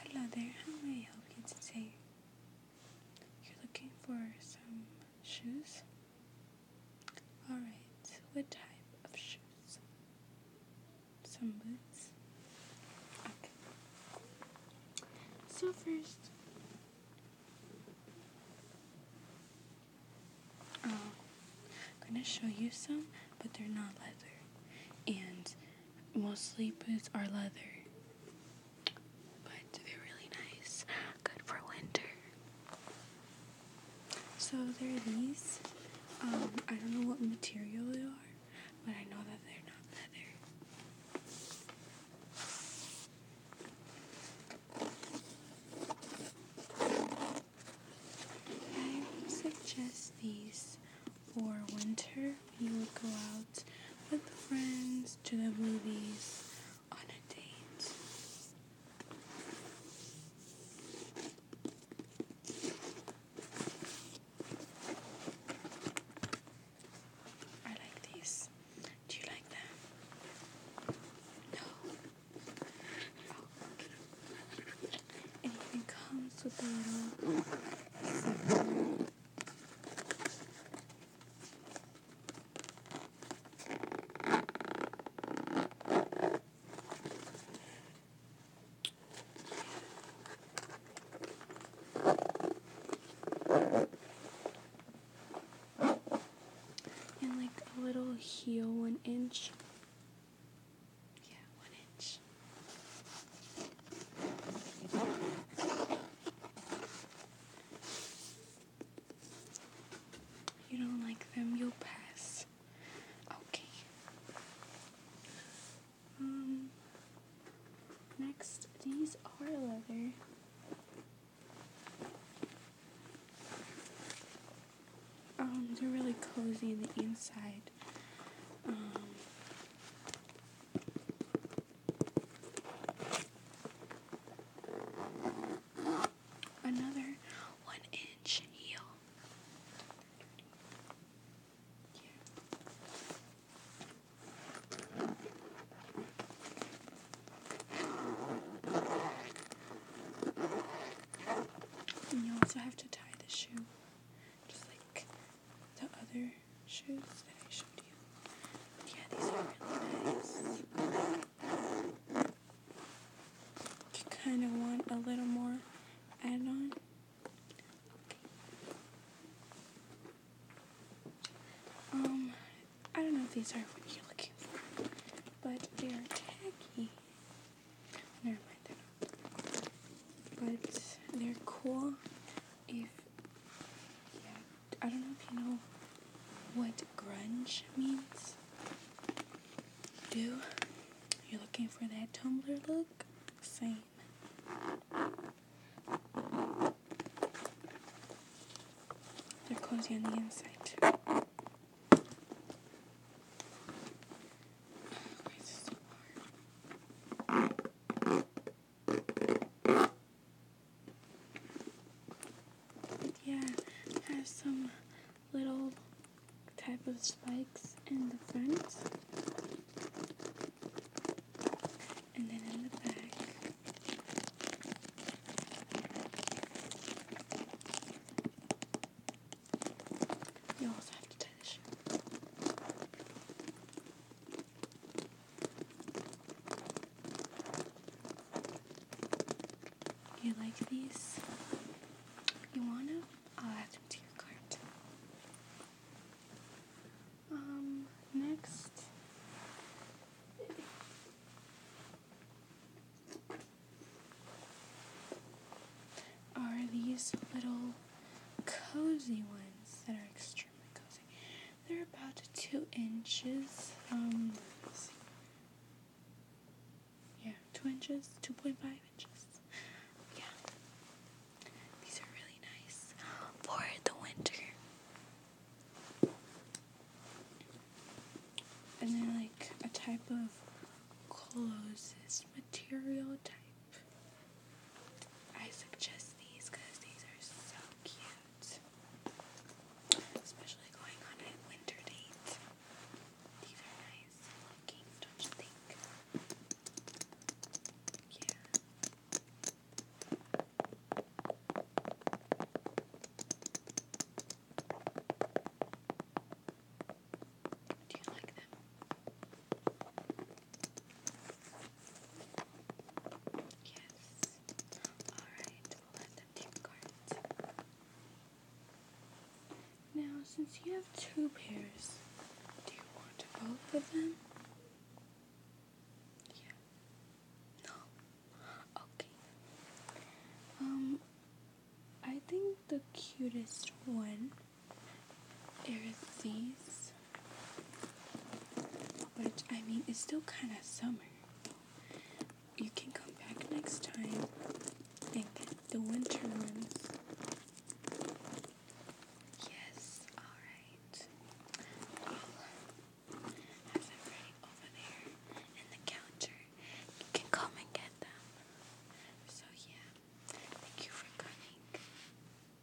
Hello there, how may I help you today? You're looking for some shoes? Alright, what type of shoes? Some boots? Okay. So, first, oh, I'm gonna show you some, but they're not leather. And Mostly boots are leather, but they're really nice. Good for winter. So there are these. Um, I don't know what material they are, but I know that they're not leather. I suggest these for winter, you would go out with friends to the movies on a date. I like these. Do you like them? No. Oh, okay. comes with a little. And like a little heel, one inch. Yeah, one you don't like them, you'll pass. Okay. Um, next, these are leather. Um, they're really cozy in the inside. Um, another one inch heel. And you also have to tie the shoe just like the other shoes that I showed you. yeah, these are really nice. You kind of want a little more add-on. Um, I don't know if these are what you're looking for, but they are tacky. Never mind, they But they're cool yeah, I don't know if you know what grunge means. Do you're you looking for that Tumblr look? Same. They're cozy on the inside. Oh, yeah, has some little type of spikes in the front. And then in the back. You like these? You wanna? I'll add them to your cart. Um, next. Are these little cozy ones that are extra. They're about two inches. Um, yeah, two inches, two point five inches. Yeah, these are really nice for the winter. And they're like a type of closest material type. I suggest these because these are so cute. Especially going on a winter date. These are nice looking, don't you think? Do you like them? Yes. Alright, let them take cards. Now, since you have two pairs, do you want both of them? Yeah. No. Okay. Um, I think the cutest one are these. Which, I mean, it's still kind of summer. You can come back next time and the winter ones. Yes, alright. I'll have them ready over there in the counter. You can come and get them. So, yeah, thank you for coming.